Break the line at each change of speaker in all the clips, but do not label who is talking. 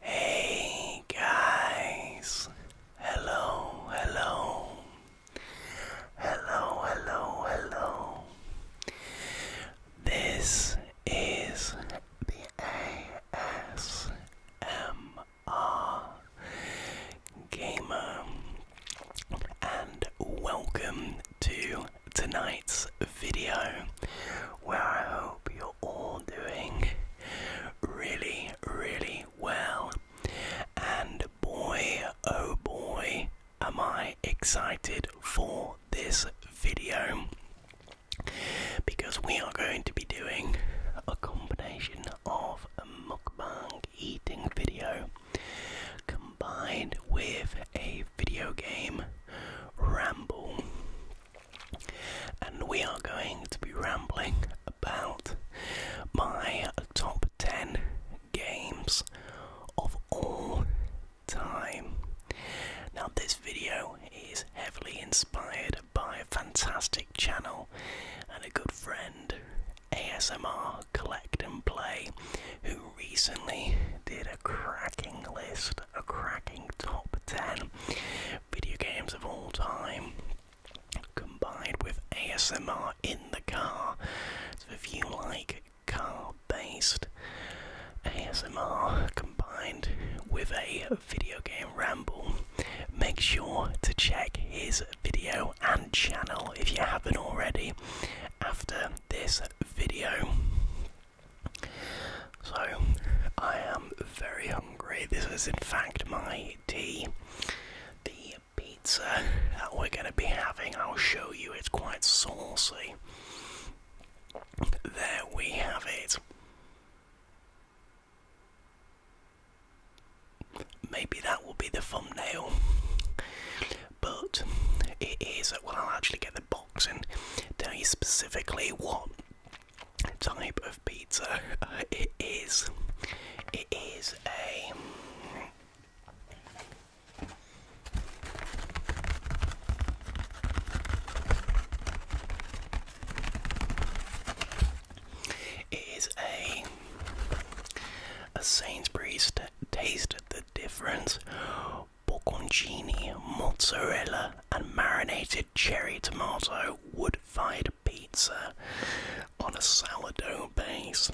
Hey guys, hello, hello, hello, hello, hello. This is the ASMR Gamer, and welcome to tonight's video where I hope you're all doing really, really well. And boy, oh boy, am I excited for this video because we are going to be doing a combination of a mukbang eating video combined with a video game ramble. And we are going to be rambling about my top 10 games of all time. Now, this video is heavily inspired by a fantastic channel and a good friend, ASMR Collect and Play, who recently did a cracking list, a cracking top 10 video games of all time combined with ASMR in the car. So if you like car-based ASMR combined with a video game ramble. Make sure to check his video and channel if you haven't already after this video. So, I am very hungry. This is, in fact, my tea. The pizza that we're going to be having, I'll show you, it's quite saucy. There we have it. Maybe that will be the thumbnail, but it is. Well, I'll actually get the box and tell you specifically what type of pizza it is. It is a. It is a a Sainsbury's taste the difference. Bocconcini, mozzarella, and marinated cherry tomato wood-fired pizza on a salad dough base.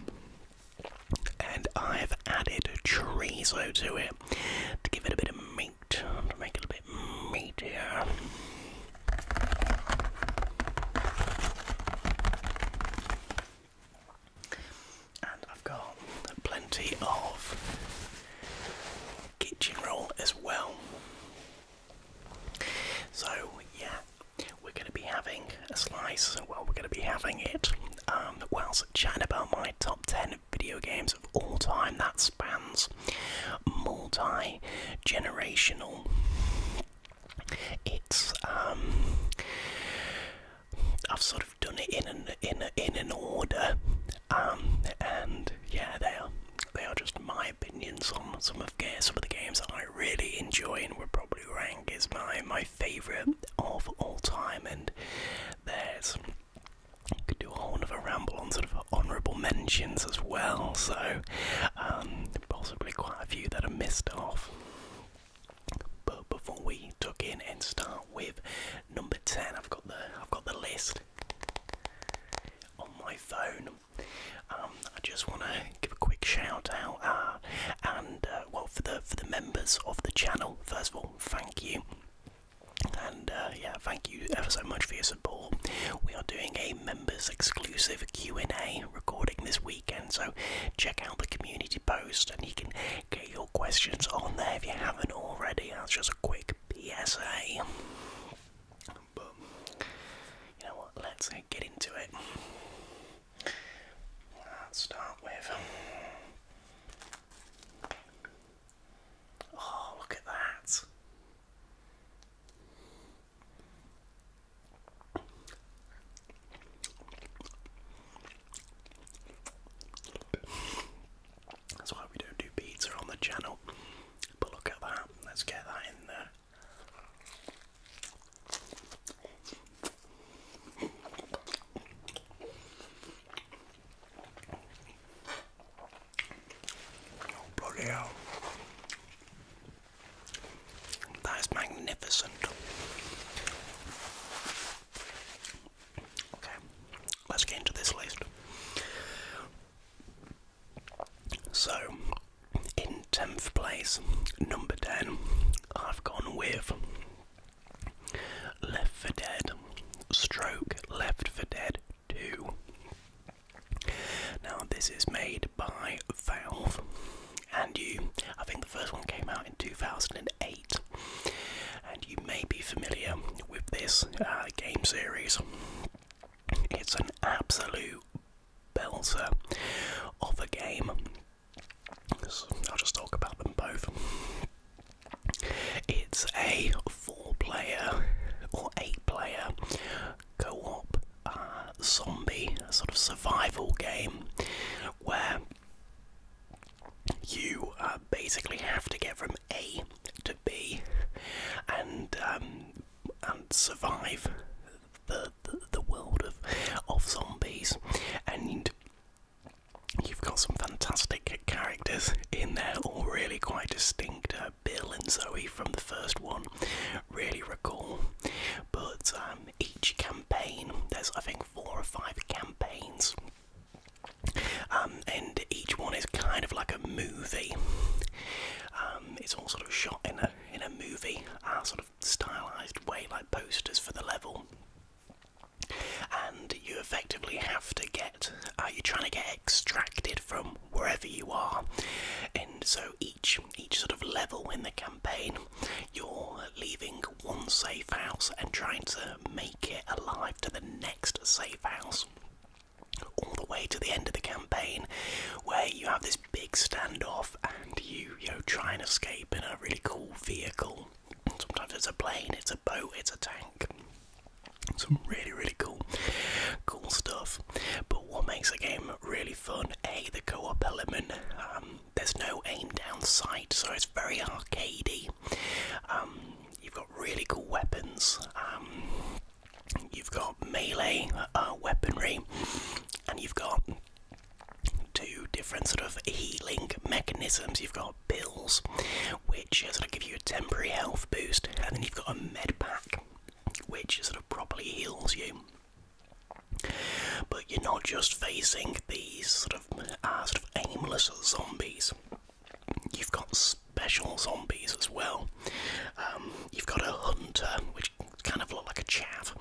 And I've added chorizo to it to give it a bit of meat to make it a bit meatier. And I've got plenty of kitchen roll as well. So, yeah, we're going to be having a slice. Well, we're going to be having it um, whilst chatting about my top 10 video games of all time that spans multi generational. It's um, I've sort of done it in an in in an order, um, and yeah, they are they are just my opinions on some of some of the games that I really enjoy and would probably rank as my my favourite of all time, and there's you could do a whole other ramble on sort of honourable mentions as well, so um, possibly quite a few that are missed off. But before we tuck in and start with number ten, I've got the I've got the list on my phone. Um, I just want to give a quick shout out, uh, and uh, well, for the for the members of the channel. First of all, thank you. And uh, yeah, thank you ever so much for your support. We are doing a members exclusive Q&A recording this weekend, so check out the community post and you can get your questions on there if you haven't already. That's just a quick PSA. But you know what? Let's get into it. Let's start with. Oh, look at that. That's why we don't do pizza on the channel. But look at that. Let's get that in there bloody hell. That is magnificent. Okay, let's get into this list. So, in 10th place, number 10, I've gone with Left for Dead, Stroke, Left for Dead 2. Now, this is made by Valve, and you, I think the first one came out in 2008, and you may be familiar with this uh, game series. It's an absolute belter of a game. I'll just talk about them both. It's a four-player or eight-player co-op uh, zombie sort of survival game where you uh, basically have to get from A to B and um, and survive the, the the world of of zombies and You've got some fantastic characters in there, all really quite distinct. Uh, Bill and Zoe from the first one, really recall. But um, each campaign, there's I think four or five campaigns, um, and each one is kind of like a movie. Um, it's all sort of shot in a in a movie, uh, sort of stylised way, like posters for the level and you effectively have to get uh, you're trying to get extracted from wherever you are and so each each sort of level in the campaign you're leaving one safe house and trying to make it alive to the next safe house all the way to the end of the campaign where you have this big standoff and you you try and escape in a really cool vehicle sometimes it's a plane it's a boat it's a tank some really, really cool, cool stuff. But what makes the game really fun? A, the co-op element. Um, there's no aim down sight, so it's very arcadey. Um, you've got really cool weapons. Um, you've got melee uh, weaponry, and you've got two different sort of healing mechanisms. You've got Bills, which sort of give you a temporary health boost, and then you've got a med pack, which sort of properly heals you. But you're not just facing these sort of, uh, sort of aimless zombies. You've got special zombies as well. Um, you've got a hunter, which kind of look like a chaff,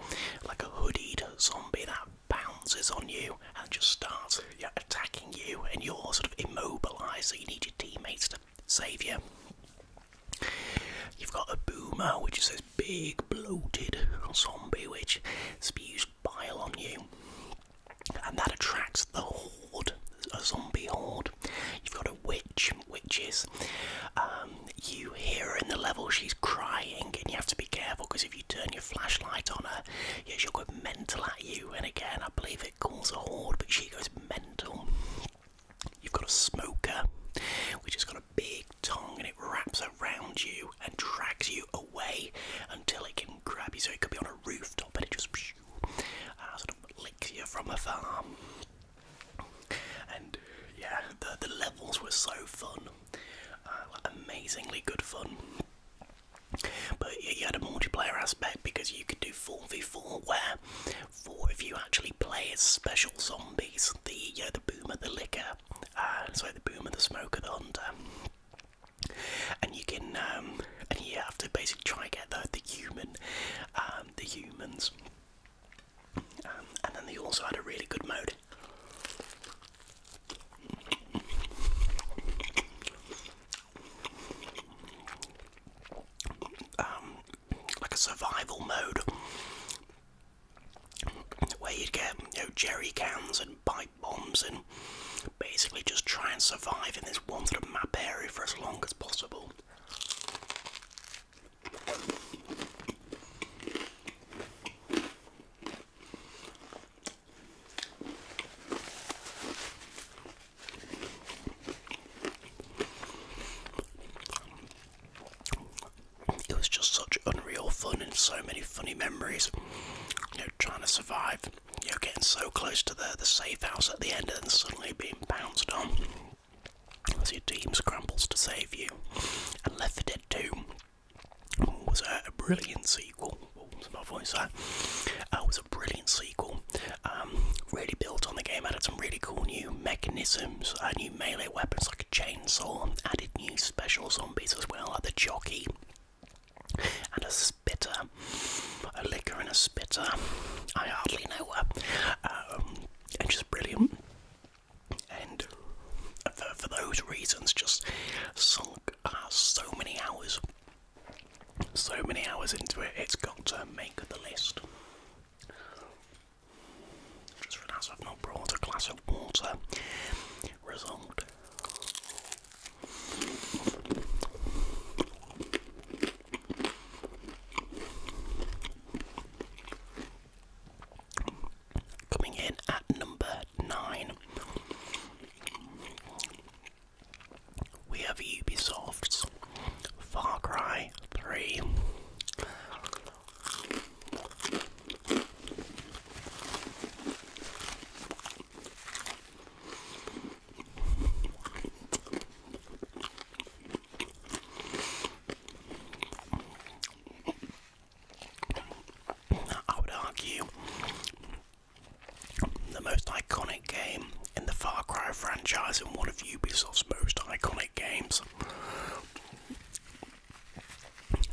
like a hooded zombie that bounces on you and just starts attacking you, and you're sort of immobilised, so you need your teammates to save you. You've got a boomer, which is this big, bloated zombie which spews bile on you, and that attracts the horde, a zombie horde. You've got a witch, witches. Um, you hear her in the level, she's crying, and you have to be careful because if you turn your flashlight on her, yeah, she'll go mental at you. And again, I believe it calls a horde, but she goes mental. You've got a smoker, which has got a big tongue and it wraps around you and drags you away until it can grab you. So it could be on a rooftop and it just uh, sort of licks you from afar. And yeah, the, the levels were so fun, uh, like amazingly good fun. But you had a multiplayer aspect because you could do 4v4 where for if you actually play as special zombies, the you know, the boomer, the licker, uh, the boomer, the smoker, the hunter, and you can um, and you have to basically try and get the the human, um, the humans, um, and then they also had a really good mode. Um, like a survival mode where you'd get you know, jerry cans and pipe bombs and basically just try and survive in this one sort of map area for as long as possible. It was just such unreal fun and so many funny memories. You are trying to survive. You are getting so close to the the safe house at the end and then suddenly being bounced on as your team scrambles to save you. And Left 4 Dead 2 was a brilliant sequel it's my voice. Uh, it was a brilliant sequel. Um, really built on the game, added some really cool new mechanisms, uh, new melee weapons like a chainsaw, added new special zombies as well, like the jockey and a spitter, a liquor and a spitter. I hardly know her. Um, and just brilliant. And for, those reasons, just sunk so many hours so many hours into it, it's got to make the list. Just realised I've not brought a glass of water. Result. Coming in at number nine. We have Ubisoft's Far Cry 3. I would argue the most iconic game in the Far Cry franchise and one of Ubisoft's most iconic games.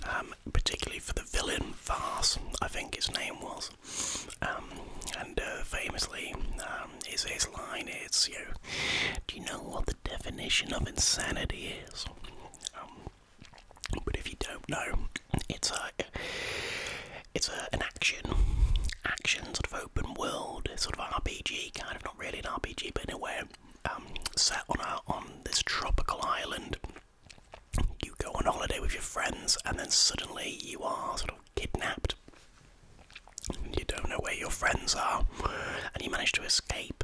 Um, particularly for the villain Vars, I think his name was. Um, and uh, famously, um, his, his line is, you do you know what the definition of insanity is? but if you don't know, it's a it's a, an action action sort of open world sort of RPG kind of not really an RPG but in a way set on a, on this tropical island. You go on holiday with your friends and then suddenly you are sort of kidnapped. You don't know where your friends are, and you manage to escape.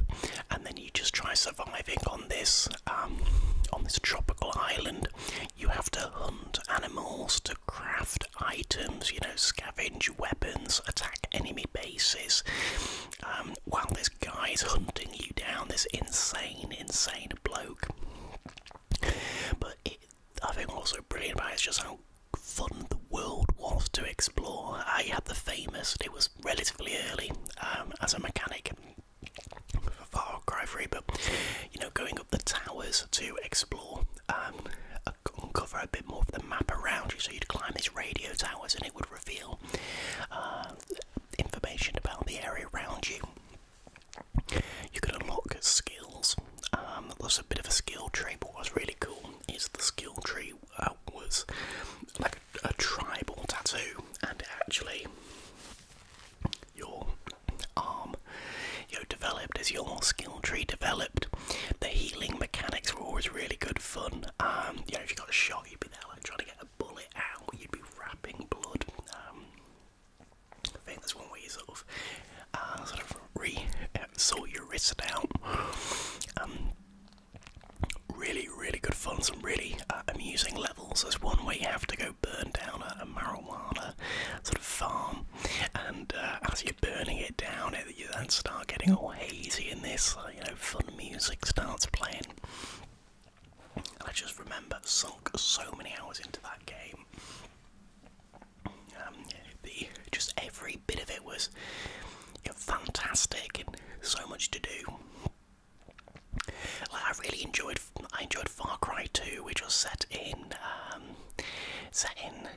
And then you just try surviving on this um, on this tropical island. You have to hunt animals to craft items, you know, scavenge weapons, attack enemy bases. Um, while this guy's hunting you down, this insane, insane bloke. But I think also brilliant about it is just how fun the world was to explore. I had the famous, it was relatively early um, as a mechanic for Far Cry 3, but you know, going up the towers to explore, um, uncover a bit more of the map around you. So you'd climb these radio towers, and it would reveal uh, information about the area around you. You could unlock skills. Um, there was a bit of a skill tree, but what was really cool is the skill tree uh, was like a, tribal tattoo, and actually your arm you know, developed, as your skill tree developed. The healing mechanics were always really good fun. Um, you know, if you got shot, you'd be there like trying to get a bullet out, you'd be wrapping blood. Um, I think that's one way you sort of uh, sort of re uh, sort your wrist out. Um, really, really good fun. Some really uh, amusing levels. There's one where you have to go burn down a, marijuana sort of farm, and uh, as you're burning it down, it, you then start getting all hazy, and this uh, you know fun music starts playing. And I just remember sunk so many hours into that game. Um, just every bit of it was fantastic and so much to do. I really enjoyed I enjoyed Far Cry 2, which was set in um, set in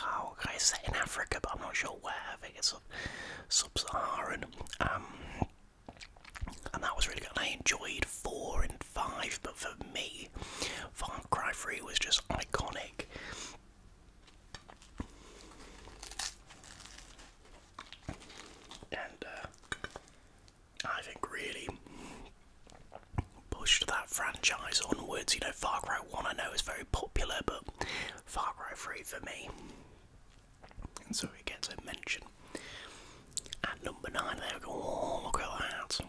oh set in Africa, but I'm not sure where. I think it's sub-Saharan. Um, and that was really good. I enjoyed four and five, but for me, Far Cry 3 was just iconic. And uh, I think really pushed that franchise onwards. You know, Far Cry 1 I know is very popular, but Far Cry 3 for me. And so it gets a mention. At number 9, there we go. Oh, look at that.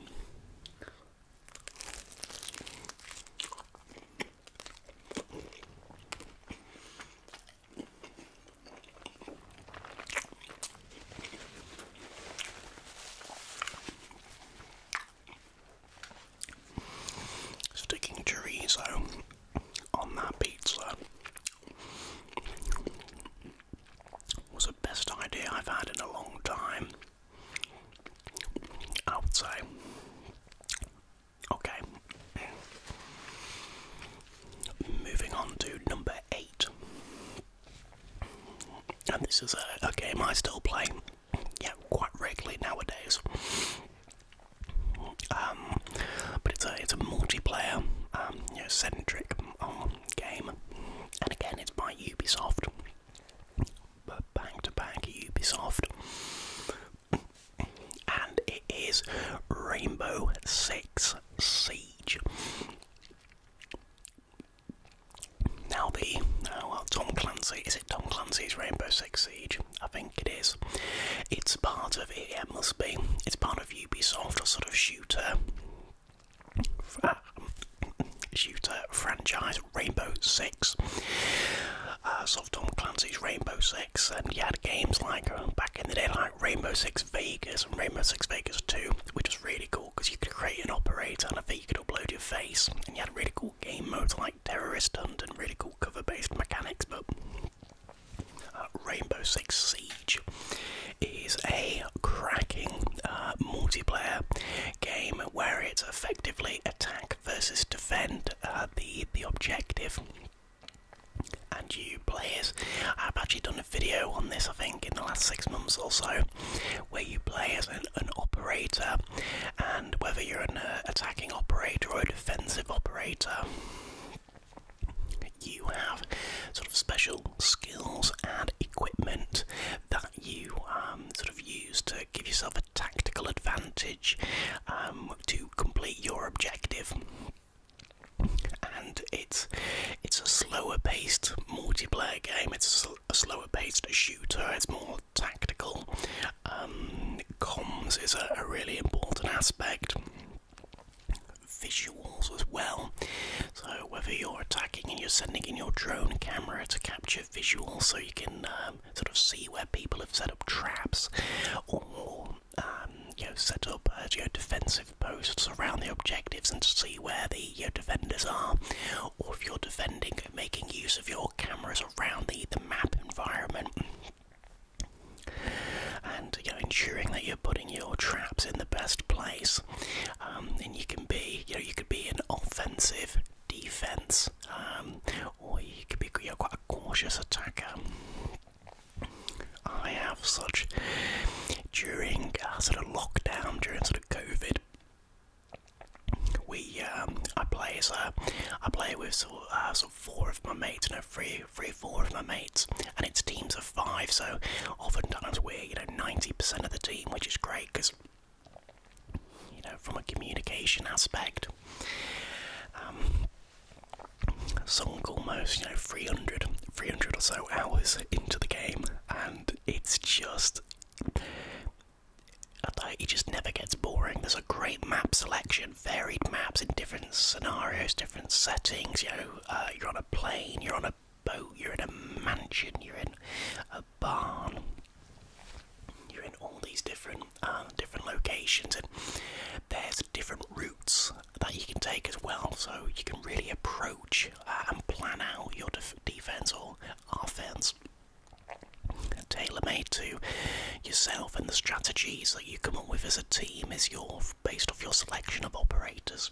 Sticking chorizo on that pizza was the best idea I've had in a long time. I would say. Okay. Moving on to number eight. And this is a, game I still play, yeah, quite regularly nowadays. Um, but it's a it's a multiplayer, um, centric um, game, and again it's by Ubisoft, but to back Ubisoft, and it is Rainbow Six Siege. Now the uh, well, Tom Clancy is it Tom Clancy's Rainbow Six Siege? I think it is. It's part of it. must be. It's part of Ubisoft, a sort of shooter, uh, shooter franchise, Rainbow Six. Soft uh, sort Tom Clancy's Rainbow Six, and you had games like back in the day, like Rainbow Six Vegas and Rainbow Six Vegas Two, which was really cool because you could create an operator and I think you could upload your face and you had really cool game modes like Terrorist Hunt and really cool cover based mechanics. But uh, Rainbow Six Siege is a cracking uh, multiplayer game where it's effectively attack versus defend uh, the, the objective. And you players, have actually done video on this, I think, in the last six months or so, where you play as an, operator, and whether you're an uh, attacking operator or a defensive operator, you have sort of special skills and equipment that you um, sort of use to give yourself a tactical advantage um, to complete your objective. And it's it's a slower paced multiplayer game. It's a slower paced shooter. It's more tactical. Um, comms is a, really important aspect. Visuals as well. So whether you're attacking and you're sending in your drone camera to capture visuals, so you can um, sort of see where people have set up traps, or um, you know set up uh, defensive posts around the objectives and see where the your uh, defenders are, or if you're defending, making use of your cameras around the, the map environment. And you know, ensuring that you're putting your traps in the best place, um, and you can be, you know, you could be an offensive defense, um, or you could be you know, quite a cautious attacker. I have such during sort of lockdown, during sort of COVID, we um, I play as I play with uh, sort of, four of my mates, you three, three, four of my mates, and it's teams of five. So often times we're you know ninety percent of the team, which is great because you know from a communication aspect. Um, sunk almost you know 300 300 or so hours into the game and it's just. It just never gets boring. There's a great map selection, varied maps in different scenarios, different settings. You know, uh, you're on a plane, you're on a boat, you're in a mansion, you're in a barn, you're in all these different uh, different locations, and there's different routes that you can take as well. So you can really approach and plan out your defense or offense tailor-made to yourself and the strategies that you come up with as a team is your based off your selection of operators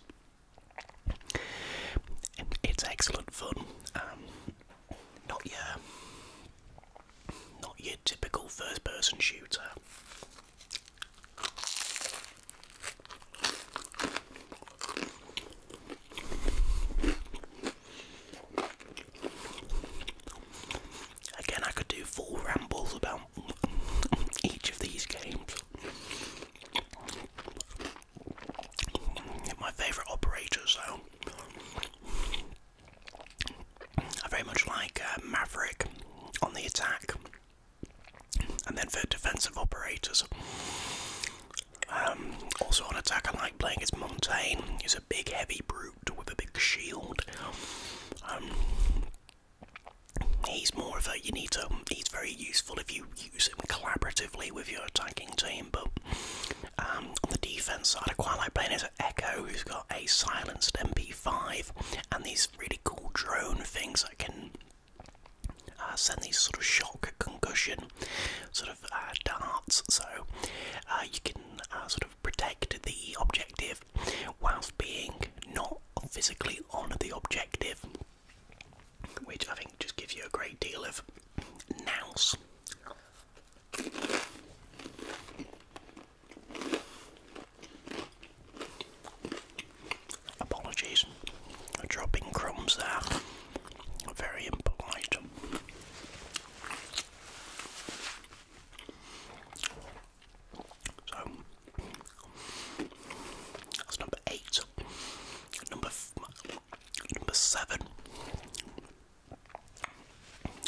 it's excellent fun um, not your not your typical first person shooter Again, I could do full rambles about each of these games. My favourite operators, though. I very much like uh, Maverick on the attack and then for defensive operators, um, also on attack, I like playing as Montaigne. He's a big, heavy brute with a big shield. Um, he's more of a you need to. He's very useful if you use him collaboratively with your attacking team. But um, on the defense side, I quite like playing as Echo, who's got a silenced MP5 and these really cool drone things that can uh, send these sort of shock concussion sort of uh, darts, so uh, you can sort of protect the objective whilst being not physically on the objective, which I think just gives you a great deal of nouse. Apologies, dropping crumbs there. Very impolite. So that's number eight. Number number seven.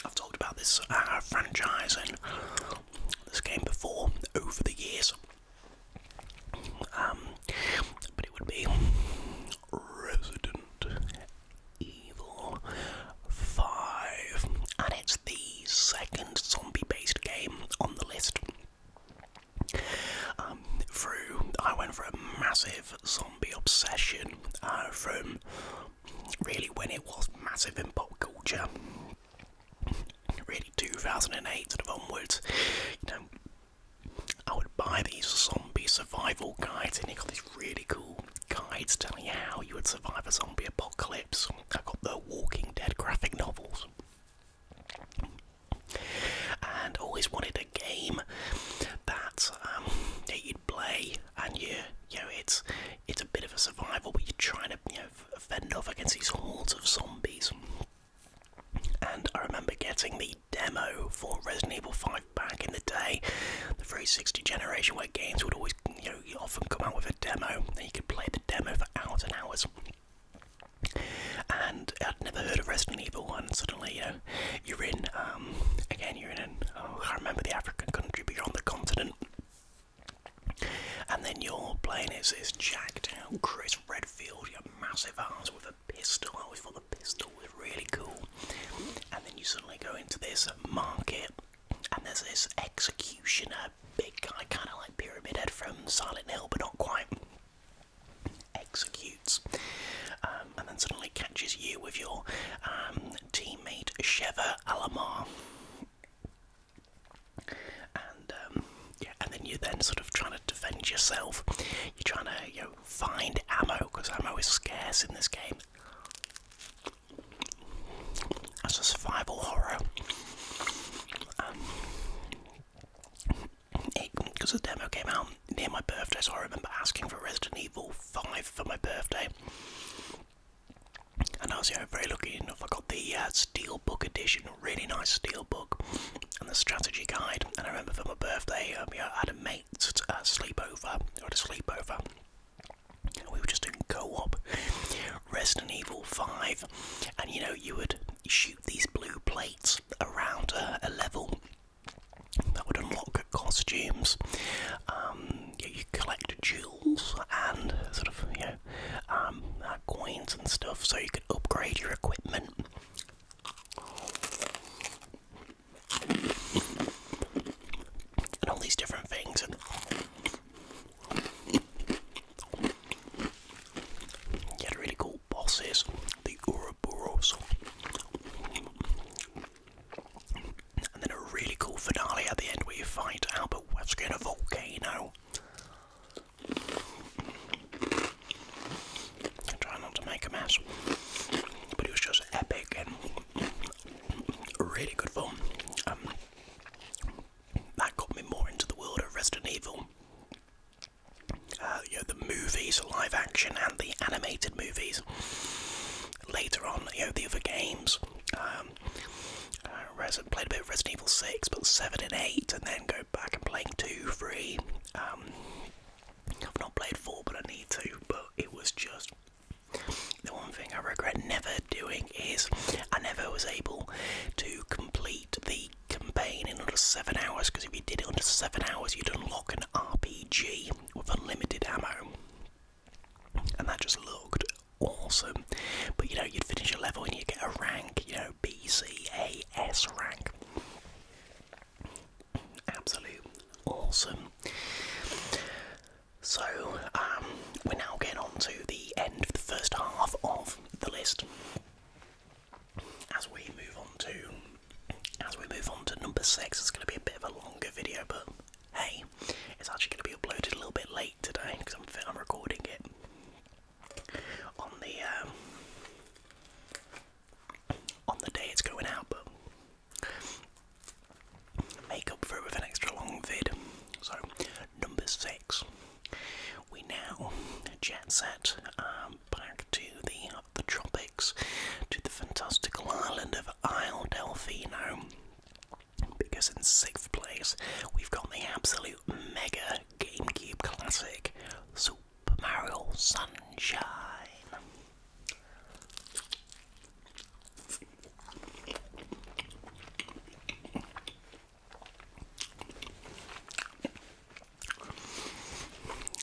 I've talked about this uh, franchise and this game before over the years. Um, but it would be Resident Evil 5, and it's the second zombie based game on the list. Um, through, I went through a massive zombie obsession uh, from really when it was massive in pop culture, really 2008 and onwards. You know, I would buy these zombie survival guides, and you got these really cool guides telling you how you would survive a zombie apocalypse. I got the Walking Dead graphic novels, and always wanted a game that um, you'd play, and you, you know, it's it's a bit of a survival, but you're trying to, you know, fend off against these hordes of zombies. And I remember getting the demo for Resident Evil 5 back in the day, the 360 generation, where games would always, you know, often come out with a demo, and you could play the demo for hours and hours. And I'd never heard of Resident Evil 1. Suddenly, you know, you're in, um, again, you're in, an, oh, I remember the African country, but you're on the continent. And then you're playing as this jacked out Chris Redfield, you massive arms with a pistol. I always thought the pistol was really cool. And then you suddenly go into this market, and there's this executioner, big guy, kind of like Pyramid Head from Silent Hill, but not quite. Executes, um, and then suddenly catches you with your um, teammate Sheva Alamar and um, yeah, and then you're then sort of trying to defend yourself. You're trying to you know find ammo because ammo is scarce in this game. That's a survival horror. Because um, the demo came out near my birthday, so I remember asking for Resident Evil 5 for my birthday. And I was you know, very lucky enough, I got the uh, steelbook edition, really nice steelbook, and the strategy guide. And I remember for my birthday, um, yeah, I had a mate uh, sleepover, I had a sleepover, and we were just doing co-op Resident Evil 5, and you know, you would shoot these blue plates around a, level that would unlock costumes. Um, you, collect jewels and sort of you um, uh, coins and stuff, so you could upgrade your equipment and all these different things and you had really cool bosses, the Ouroboros and then a really cool finale at the end where you fight Albert Wesker in a volcano I try not to make a mess, but it was just epic and really good film. Um, that got me more into the world of Resident Evil. Uh, you know, the movies, live action, and the animated movies. Later on, you know, the other games. Um, uh, Resident, played a bit of Resident Evil 6, but 7 and 8, and then go back and playing two, three. Um, I've not played four, but I need to. But it was just the one thing I regret never doing is I never was able to complete the campaign in under seven hours. Because if you did it under seven hours, you'd unlock an RPG with unlimited ammo, and that just looked awesome. But you know, you'd finish a level and you would get a rank. You know, BCAS rank. Absolute awesome. So, um, we're now getting on to the end of the first half of the list. As we move on to, as we move on to number six, it's going to be a bit of a longer video, but hey, it's actually going to be uploaded a little bit late today because I'm, I'm recording it on the um, on the day it's going out, but make up for it with an extra long vid. So number six, we now jet set um, back to the the tropics, to the fantastical island of Isle Delfino. Because in sixth place we've got the absolute mega GameCube classic Super Super Mario Sunshine.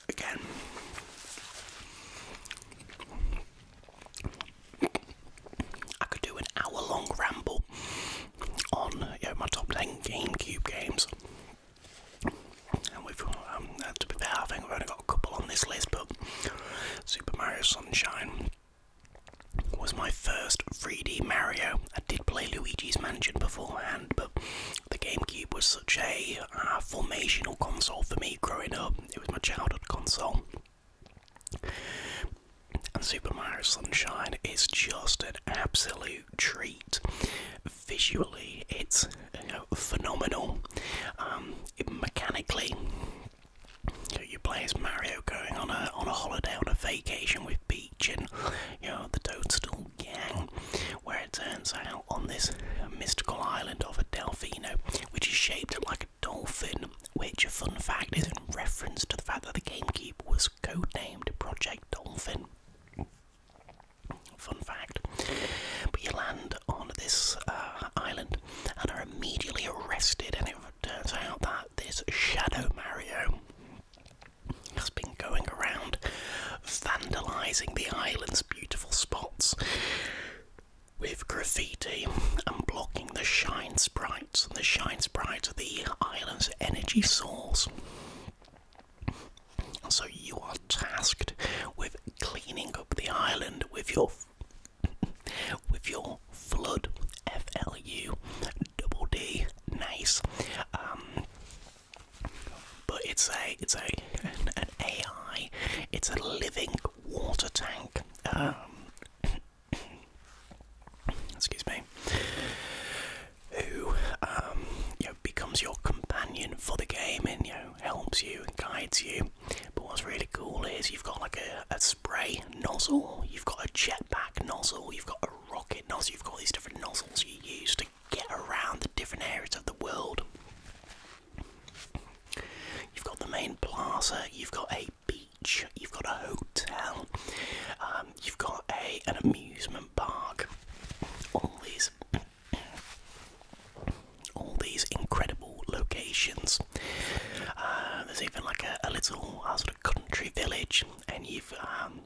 Again. I could do an hour long ramble on my top 10 GameCube games. And we've, um, to be fair, I think we've only got a couple on this list, but Super Mario Sunshine was my first 3D Mario. I did play Luigi's Mansion beforehand, but the GameCube was such a uh, formational console for me growing up. It was my childhood console. And Super Mario Sunshine is just an absolute treat. Visually, it's phenomenal. Um, mechanically, you, play as Mario going on a on a holiday on a vacation with Peach and you know the Toadstool gang, where it turns out on this mystical island of a Delphino, which is shaped like a dolphin. Which, a fun fact, is in reference to the fact that the GameCube was codenamed Project Dolphin. Fun fact. But you land on this uh, island and are immediately arrested, and it turns out that this Shadow Mario has been going around vandalizing the island's beautiful spots with graffiti and blocking the shine sprites. And the shine sprites are the island's energy source. So you are tasked with cleaning up the island with your with your flood F L U double D nice. Um, but it's a it's a an, AI. It's a living water tank. Um, excuse me who um, you know becomes your companion for the game and you helps you and guides you. But what's really cool is you've got like a, a spray nozzle, you've got a jetpack nozzle, you've got a rocket nozzle, you've got these different nozzles you use to get around the different areas of the world. You've got the main plaza, you've got a beach, you've got a hotel, um, you've got a an amusement Park. All these, all these incredible locations. Uh, there's even like a, little uh, sort of country village, and you've, um,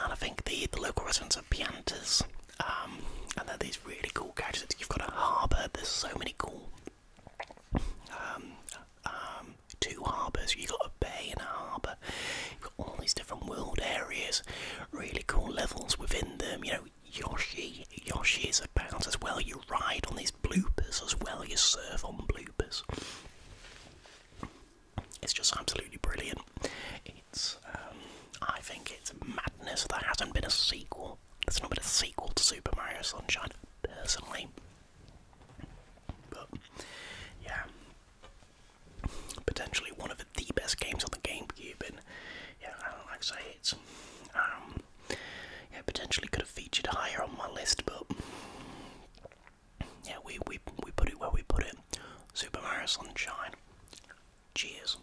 and I think the, the local residents are Piantas, um, and there are these really cool gadgets. You've got a harbour. There's so many cool. Um, two harbours. You've got a bay and a harbour. You've got all these different world areas, really cool levels within them. You know, Yoshi, Yoshi is about as well. You ride on these bloopers as well. You surf on bloopers. It's just absolutely brilliant. It's, um, I think it's madness that hasn't been a sequel. There's not been a sequel to Super Mario Sunshine, personally. But yeah, potentially one of the best games on the GameCube, and yeah, I like I say, it's um, yeah, potentially could have featured higher on my list, but yeah, we we we put it where we put it. Super Mario Sunshine. Cheers.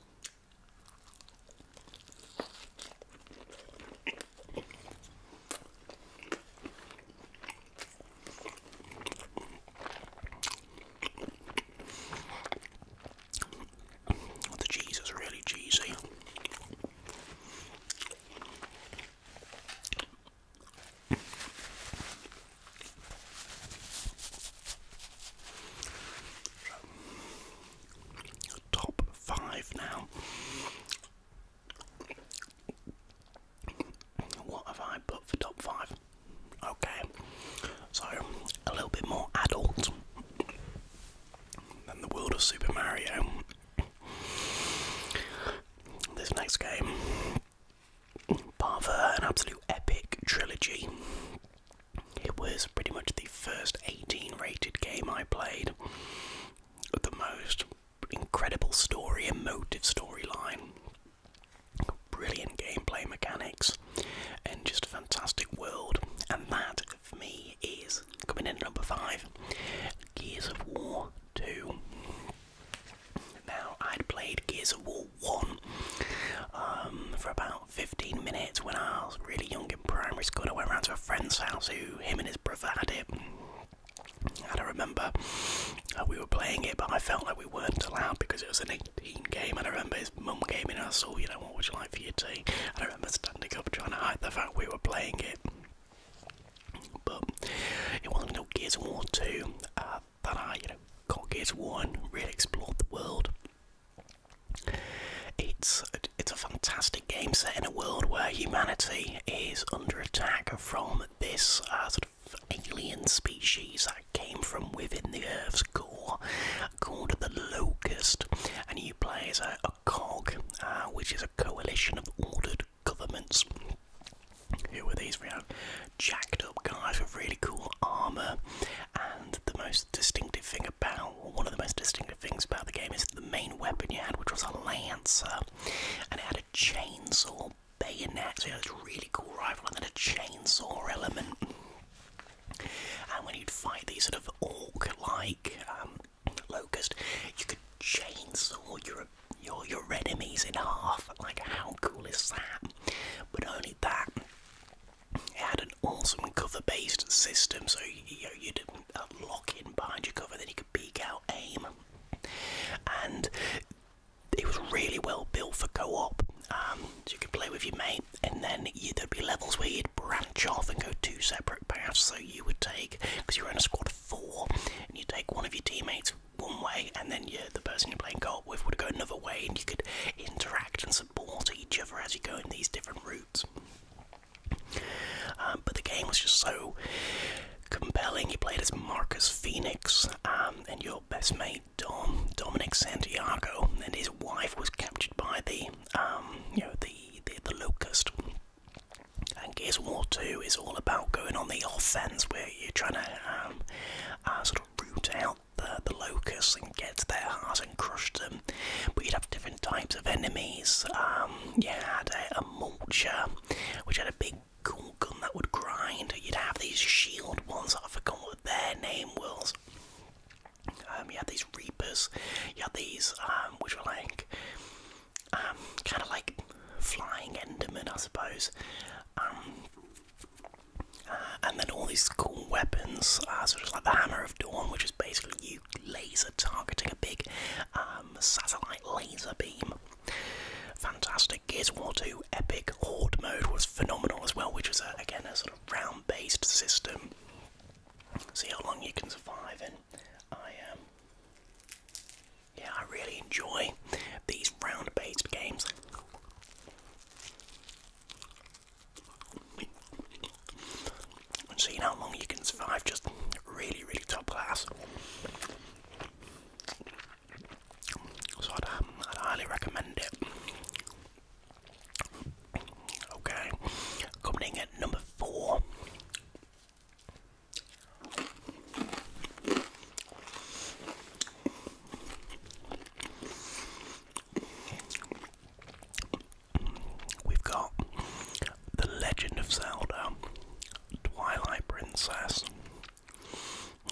The cheese is really cheesy. Top five now. What have I put for top five? Okay, so a little bit more adult than the world of Super Mario. This next game, part of an absolute epic trilogy. It was pretty much the first 18 rated game I played. The most incredible story, emotive storyline. Brilliant gameplay mechanics and just a fantastic world. And that, for me, is coming in at number five Gears of War 2. Now, I'd played Gears of War 1 um, for about 15 minutes when I was really young in primary school. I went round to a friend's house who, him and his brother, had it. I don't remember uh, we were playing it, but I felt like we we weren't allowed because it was an 18 game, and I remember his mum came in and saw, you know, what was you like for your tea? I remember standing up trying to hide the fact we were playing it. But it wasn't no Gears of War 2 uh, that I, you know, got Gears of War and really explored the world. It's a, it's a fantastic game set in a world where humanity is under attack from this uh, sort alien species that came from within the Earth's core called the Locust, and you play as a, cog, uh, which is a coalition of ordered governments. Who are these? We have jacked up guys with really cool armour, and the most distinctive thing about, well, one of the most distinctive things about the game is the main weapon you had, which was a lance, and it had a chainsaw bayonet, so you had this really cool rifle, and then a chainsaw element. And when you'd fight these sort of orc-like um, locust, you could chainsaw your your your enemies in half. Like, how cool is that? But only that. It had an awesome cover-based system, so you know, you'd lock in behind your cover, then you could peek out, aim, and it was really well built for co-op. Um, you could play with your mate, and then there'd be levels where you'd branch off and go two separate paths. So you would take, because you were in a squad of four, and you take one of your teammates one way, and then the person you're playing co-op with would go another way, and you could interact and support each other as you go in these different routes. Um, but the game was just so compelling. You played as Marcus Phoenix, um, and your best mate Dominic Santiago and his wife was captured by the um, you know the, the locust. And his War too is all about going on the offense where you're trying to um, uh, sort of root out the, the locusts and get their hearts and crush them. But you'd have different types of enemies. Um, you had a, a mulcher, which had a big cool gun that would grind. You'd have these shield ones, I have forgotten what their name was. Um, you had these reapers, you had these, um, which were like, um, kind of like flying enderman, I suppose. Uh, and then all these cool weapons, uh, such like the Hammer of Dawn, which is basically you laser targeting a big satellite laser beam. Fantastic. Gears War 2 Epic Horde mode was phenomenal as well, which was again a sort of round based system. See how long you can survive, and I um, yeah, I really enjoy these round based games. And see how long you can survive, just really, really top class. So I'd, um, I'd highly recommend it. Okay, coming in at number four. We've got The Legend of Zelda Twilight Princess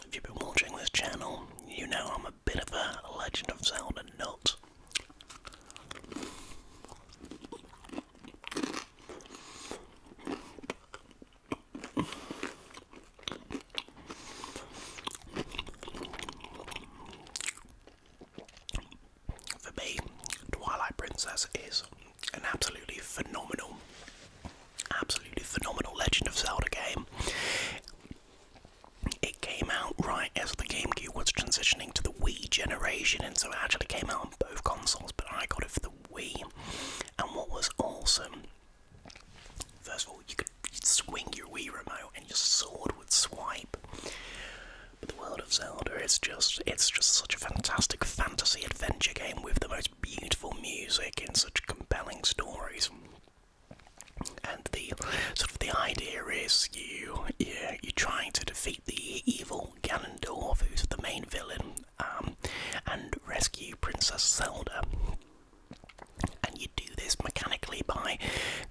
if you've been watching this channel, you know I'm a bit of a Legend of Zelda nut. For me, Twilight Princess is an absolutely phenomenal absolutely phenomenal Legend of Zelda game. It came out right as the GameCube was transitioning to the Wii generation, and so it actually came out on both consoles, but I got it for the Wii. And what was awesome, first of all, you could swing your Wii remote and your sword would swipe. But the world of Zelda is just it's just such a fantastic fantasy adventure game with the most beautiful music and such compelling stories. And the sort of the idea is you yeah, you're trying to defeat the evil Ganondorf, who's the main villain, um, and rescue Princess Zelda. And you do this mechanically by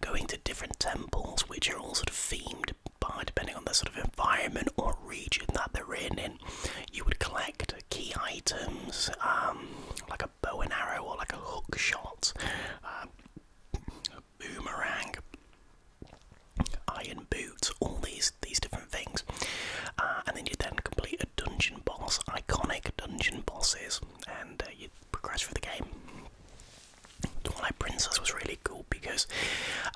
going to different temples, which are all sort of themed by depending on the sort of environment or region that they're in. And you would collect key items, um, like a bow and arrow or like a hook shot, um, boomerang, iron boots, all these these different things, uh, and then you then complete a dungeon boss, iconic dungeon bosses, and uh, you progress through the game. Twilight Princess was really cool because,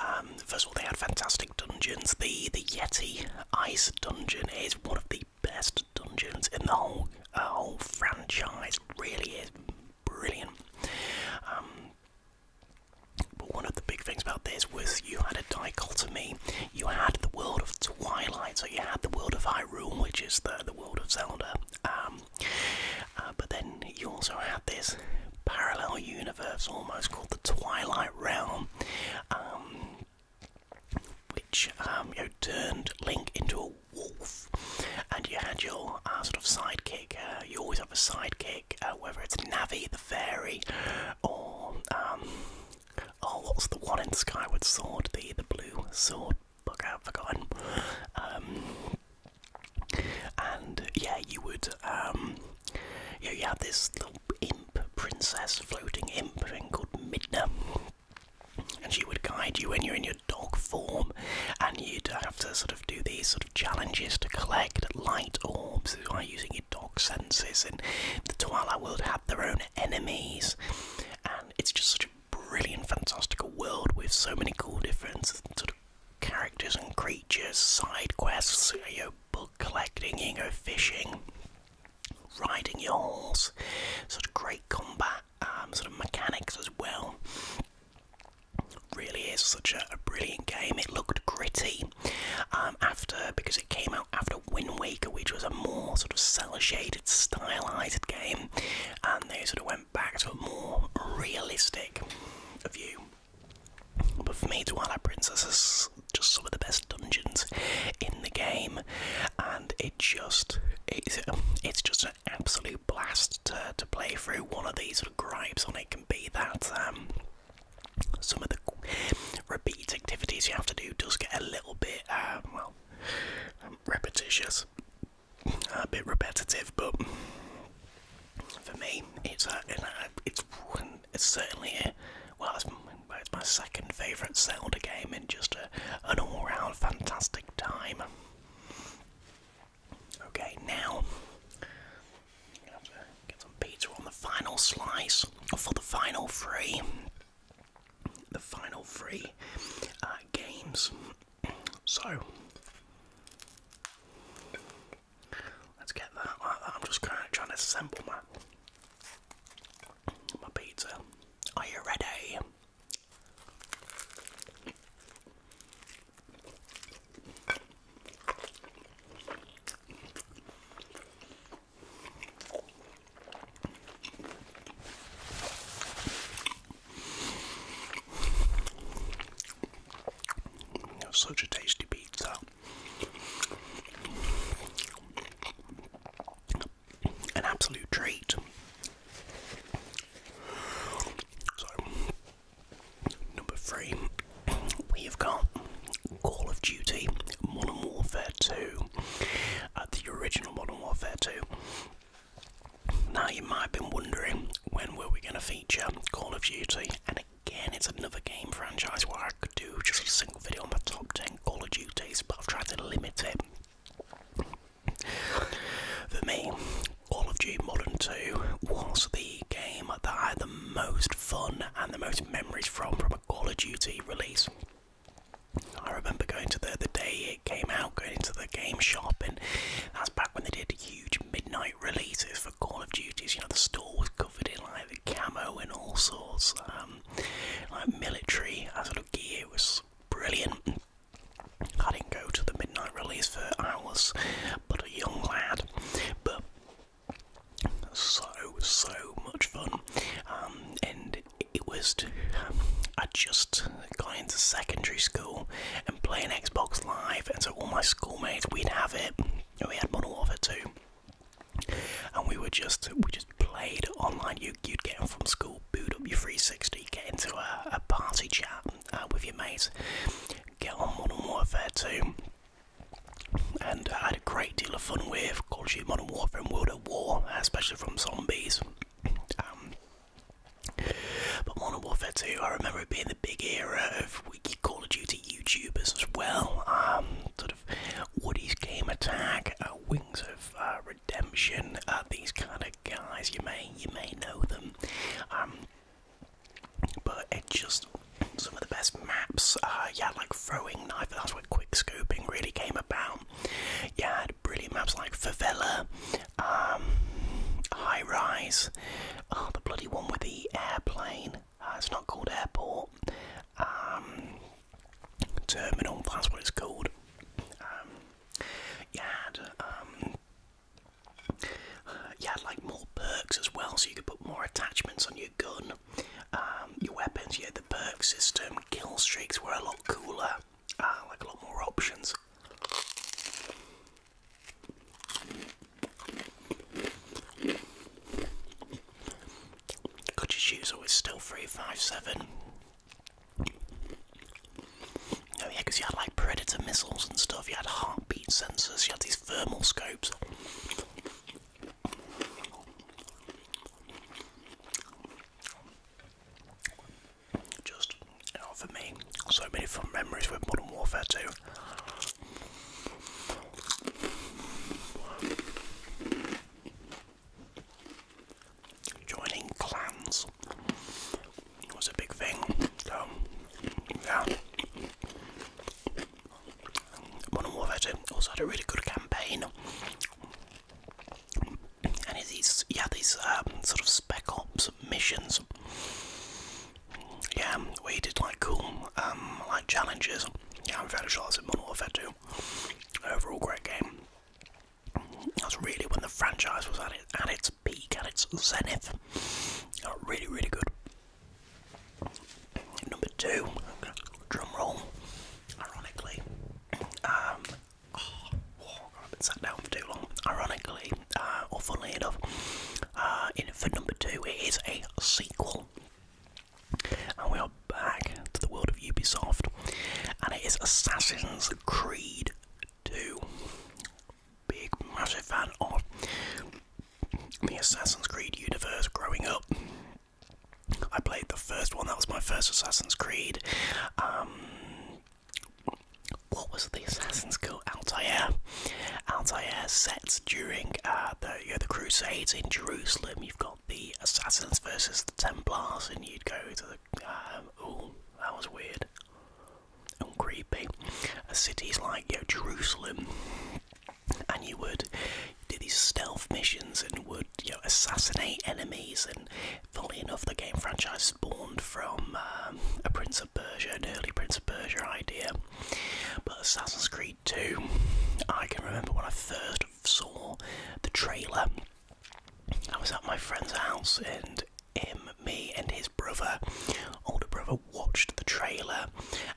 um, first of all, they had fantastic dungeons. The the Yeti Ice Dungeon is one of the best dungeons in the whole uh, whole franchise. Really is brilliant. Um, but one of the big things about this was you had a dichotomy. You had the world of Twilight, so you had the world of Hyrule, which is the the world of Zelda. Um, uh, but then you also had this parallel universe, almost called the Twilight Realm. Um, which um, you turned Link into a wolf, and you had your uh, sort of sidekick. Uh, you always have a sidekick, uh, whether it's Navi the fairy, or um, oh, what's the one in Skyward Sword? The the blue sword. Bug out, forgotten. Um, and yeah, you would. Um, you, you had this little imp princess, floating imp thing called Midna and she would guide you when you're in your dog form, and you'd have to sort of do these sort of challenges to collect light orbs by using your dog senses. And the Twilight World had their own enemies, and it's just such a brilliant, fantastical world with so many cool different sort of characters and creatures, side quests. You know, book collecting, you know, fishing riding your horse, such great combat um, sort of mechanics as well. Really is such a, brilliant game. It looked gritty um, after because it came out after Wind Waker, which was a more sort of cell shaded, stylized game, and they sort of went back to a more realistic view. But for me, Twilight Princess just some of the best dungeons in the game, and it just it's, it's just an absolute blast to, to play through. One of these sort of gripes on it can be that um, some of the repeat activities you have to do does get a little bit uh, well um, repetitious, a bit repetitive, but. For me, it's it's, a, it's certainly a, well, it's, my second favourite Zelda game, in just an all-round fantastic time. Okay, now get some pizza on the final slice for the final three. The final three uh, games. So let's get that. I'm just kind of trying to assemble my my pizza. Are you ready? Such a tasty pizza an absolute treat. So, number three, we have got Call of Duty Modern Warfare 2, uh, the original Modern Warfare 2. Now, you might have been wondering when were we going to feature Call of Duty, and again, it's another game franchise where I could do just a video on my top 10 Call of Duty's, but I've tried to limit it. For me, Call of Duty Modern 2 was the game that I had the most fun and the most memories from from a Call of Duty release. I remember going to the, the day it came out, going into the game shop, and that's back when they did huge midnight releases for Call of Duties. You know, the store was covered in like the camo and all sorts. Um, like military as a gear it was brilliant. I didn't go to the midnight release for hours, but a young lad. But so so much fun, um, and it was. Um, I just got into secondary school and playing Xbox Live, and so all my schoolmates we'd have it, and we had one of it too and we were just we just played online. You, would get home from school, boot up your 360, get into a, party chat uh, with your mates, get on Modern Warfare 2, and I had a great deal of fun with Call of Duty Modern Warfare and World at War, especially from zombies. Um, but Modern Warfare 2, I remember it being the big era of Call of Duty YouTubers as well. Um, sort of Woody's Game Attack, uh, Wings of uh, Redemption, uh, these kind of guys. You may you may know them, um, but it just some of the best maps. yeah, like throwing knife. That's where quick scooping really came about. Yeah, brilliant maps like Favela, um, High Rise. Oh, the bloody one with the airplane. it's not called Airport. Um, terminal, that's what it's called. Um, you had, um, you had like more perks as well, so you could put more attachments on your gun, um, your weapons. You had the perk system, kill streaks were a lot cooler, uh, like a lot more options. Could you choose always still 357? Oh yeah, you had like predator missiles and stuff, you had heartbeat sensors, you had these thermal scopes. Just for me, so many fun memories with Modern Warfare too. Joining clans was a big thing, so yeah. Modern Warfare 2 also had a really good campaign. And these, yeah, these um, sort of spec ops missions. Yeah, we did like cool, um, like challenges. Yeah, I'm fairly sure that's in Modern Warfare 2. Overall, great game. That's really when the franchise was at, it, at its peak, at its zenith. really, really good. Number two, drum roll. Ironically, um, oh, I've been sat down for too long. Ironically, uh, or funnily enough, uh, in for number two, it is a sequel and we are back to the world of Ubisoft, and it is Assassin's Creed 2. Big, massive fan of the Assassin's Creed universe growing up. I played the first one, that was my first Assassin's Creed. Um, what was the assassin's called? Altair. Altair sets during uh, the, you know, the Crusades in Jerusalem. You've got the Assassins versus the Templars, and you'd go to the. Um, ooh, that was weird and creepy. cities like you know, Jerusalem, and you would do these stealth missions and would you know, assassinate enemies. And funnily enough, the game franchise spawned from um, a Prince of Persia, an early Prince of Persia idea. But Assassin's Creed 2, I can remember when I first saw the trailer, I was at my friend's house and him, me, and his brother, older brother, watched the trailer,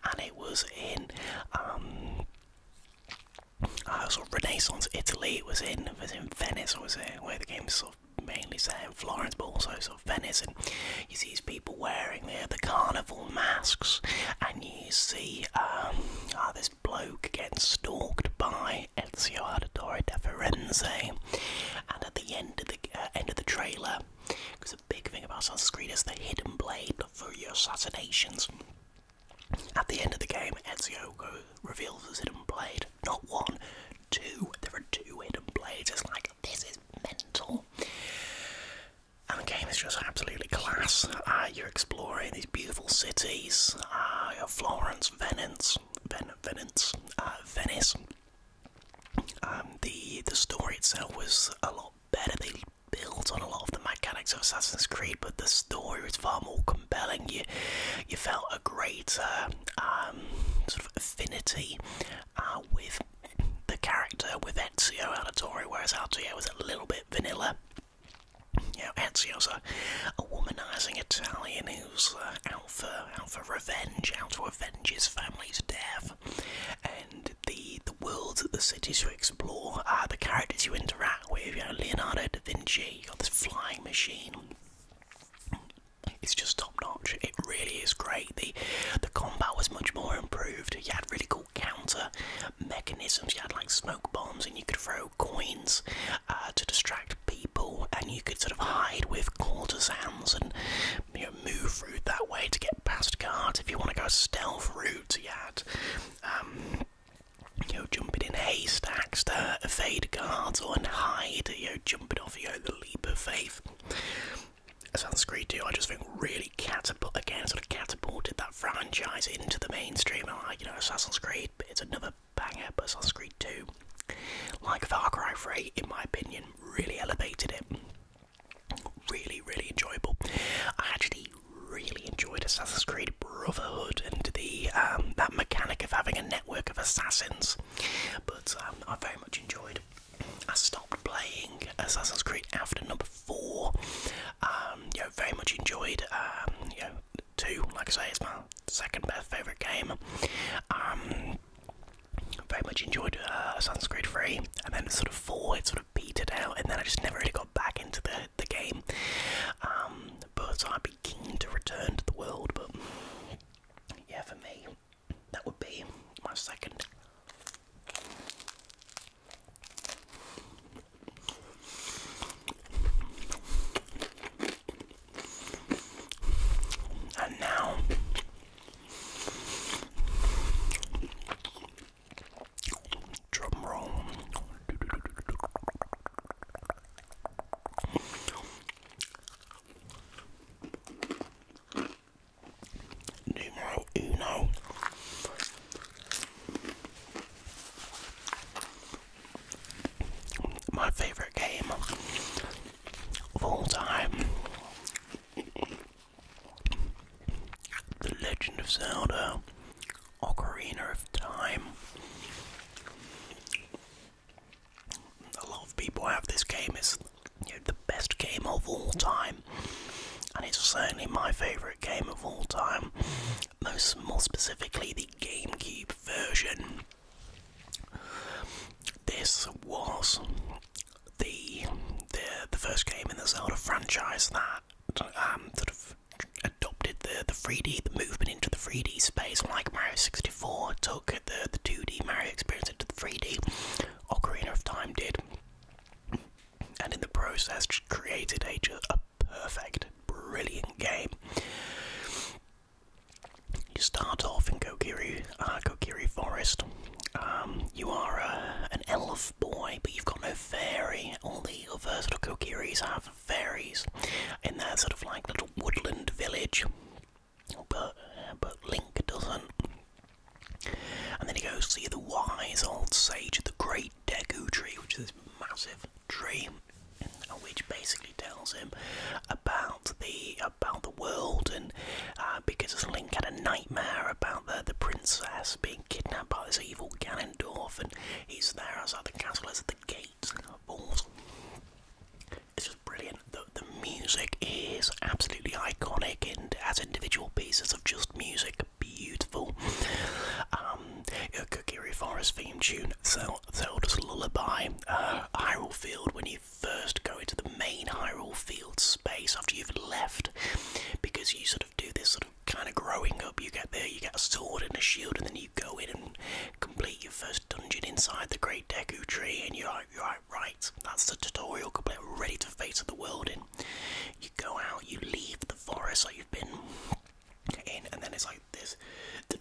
and it was in um, uh, sort Renaissance Italy. It was in was in Venice. I was there uh, where the game's sort of mainly set in Florence, but also sort of Venice. And you see these people wearing the the carnival masks, and you see um, uh, ah, there's bloke gets stalked by Ezio Auditore da Firenze, and at the end of the uh, end of the trailer, because the big thing about Assassin's Creed is the hidden blade for your assassinations. At the end of the game, Ezio reveals his hidden blade. Not one, two. There are two hidden blades. It's like this is mental. And the game is just absolutely class you're exploring these beautiful cities, uh, of Florence, Venice, Venice, uh, Venice. Um, the the story itself was a lot better. They built on a lot of the mechanics of Assassin's Creed, but the story was far more compelling. You you felt a greater um, sort of affinity uh, with the character with Ezio Auditore, whereas Altair was a little bit vanilla. You know, Ezio's a, a womanizing Italian who's uh, out for out for revenge, out to avenge his family's death, and the the worlds, the cities you explore, are the characters you interact with. You know, Leonardo da Vinci, you got this flying machine. It's just top notch. It really is great. the The combat was much more improved. You had really cool counter mechanisms. You had like smoke bombs, and you could throw coins uh, to distract people, and you could sort of hide with courtesans and you know, move through that way to get past guards. If you want to go stealth route, yet um, you know jumping in haystacks to evade guards or and hide. You know jumping off you know the leap of faith. Assassin's Creed too, I just think really catapult again sort of catapulted that franchise into the mainstream. And like you know, Assassin's Creed it's another banger, but Assassin's Creed 2, like Far Cry 3, in my opinion, really elevated it. Really, really enjoyable. I actually really enjoyed Assassin's Creed Brotherhood and the um, that mechanic of having a network of assassins, but um, I very much enjoyed. I stopped playing Assassin's Creed after number four. Um, very much enjoyed um, 2. Like I say, it's my second best favourite game. Um, very much enjoyed *Sunscreen uh, Assassin's and then sort of 4, it sort of petered out, and then I just never really got back into the, the game. Um, but I'd be keen to return to the world, but yeah, for me, that would be my second. And now drum roll. Numero uno my favorite game of all time. The Legend of Zelda Ocarina of Time. A lot of people have this game, it's the best game of all time, and it's certainly my favourite game of all time most more specifically the GameCube version. This was the the the first game in the Zelda franchise that um, sort of adopted the the 3D the movement into the 3D space, like Mario 64 took the the 2D Mario experience into the 3D. Ocarina of Time did, and in the process created a perfect, brilliant game. You start off in Kokiri, uh, Kokiri Forest. Um, you are uh, an elf boy, but you've got no fairy. All the other sort of Kokiris have fairies in their sort of like little woodland village, but but Link doesn't. And then he goes see the wise old sage of the Great Deku Tree, which is this massive tree which basically tells him about the about the world and uh, because Link had a nightmare about the the princess being kidnapped by this evil Ganondorf and he's there outside the castle as the gates It's just brilliant. The, the music is absolutely iconic and as individual pieces of just music beautiful. Um, um, Kokiri Forest theme tune, Zel Zelda's Lullaby. Uh, Hyrule Field, when you first go into the main Hyrule Field space after you've left, because you sort of do this sort of kind of growing up. You get there, you get a sword and a shield, and then you go in and complete your first dungeon inside the Great Deku Tree, and you're like, you're like right, that's the tutorial complete, ready to face the world in. You go out, you leave the forest like you've been and then it's like this and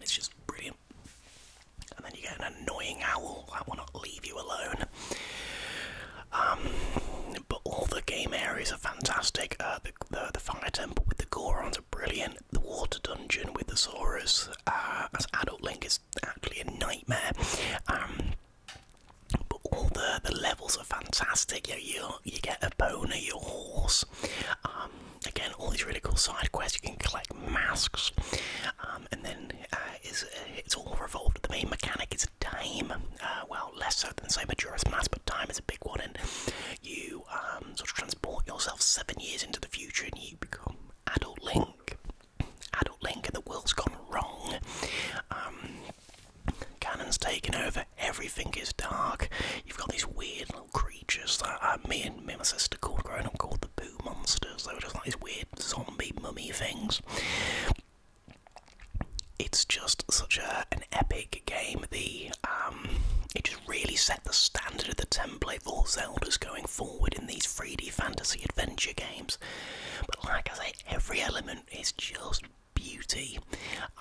it's just brilliant. And then you get an annoying owl that will not leave you alone. Um, but all the game areas are fantastic. Uh, the, fire temple with the Gorons are brilliant. The water dungeon with the Saurus uh, as Adult Link is actually a nightmare. Um, but all the the levels are fantastic. You you you get a boner, your horse. Um, again, all these really cool side quests. You can collect masks, um, and then uh, it's, uh, it's all revolved. The main mechanic is time. Uh, well, less so than say Majora's Mask, but time is a big one, and you um, sort of transport yourself seven years into the future, and you become adult Link. Adult Link, and the world's gone wrong. Cannon's taken over, everything is dark. You've got these weird little creatures that uh, me and me and my sister called growing up called the Boo Monsters. They were just like these weird zombie mummy things. It's just such an epic game. The um, it just really set the standard of the template for Zelda's going forward in these 3D fantasy adventure games. But like I say, every element is just beauty.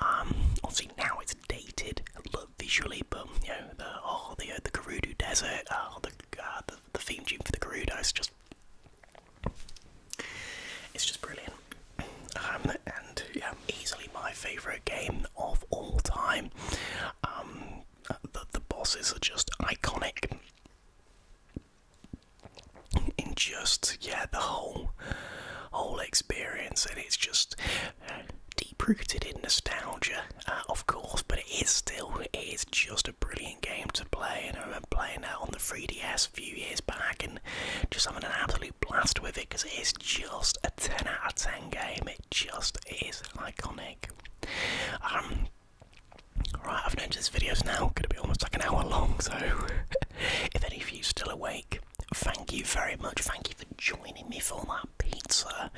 Um, obviously now it's dated look visually, but you know the oh the uh, the Gerudo Desert, oh, uh, the, the theme tune for the Gerudo is just it's just brilliant. Um, and yeah, easily my favourite game of all time. Um, the the bosses are just iconic in just yeah the whole whole experience, and it's just deep rooted in nostalgia, uh, of course. But it is still it is just a brilliant game to play, and I remember playing that on the 3DS a few years back, and just having an absolute blast with it because it is just a 10 out of 10 game. It just is iconic. Um, Right, I've noticed this video's now going to be almost like an hour long, so if any of you still awake, thank you very much. Thank you for joining me for that pizza.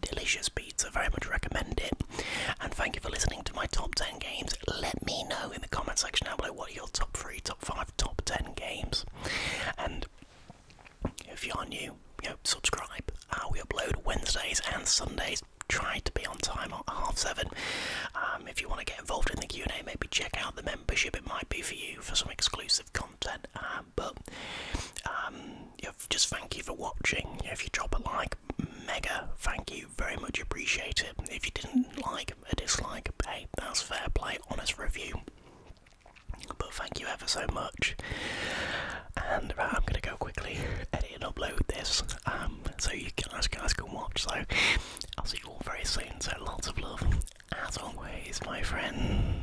Delicious pizza, very much recommend it. And thank you for listening to my top 10 games. Let me know in the comment section down below what are your top 3, top 5, top 10 games. And if you are new, yeah, subscribe. Uh, we upload Wednesdays and Sundays. Try to be on time at half seven. Uh, um, if you want to get involved in the Q&A, maybe check out the membership. It might be for you for some exclusive content. Um, but um, just thank you for watching. If you drop a like, mega thank you, very much appreciate it. If you didn't like, a dislike, hey, that's fair play, honest review. But thank you ever so much. And I'm going to go quickly edit and upload this so you guys, guys can watch. So I'll see all very soon. So lots of love, as always, my friends.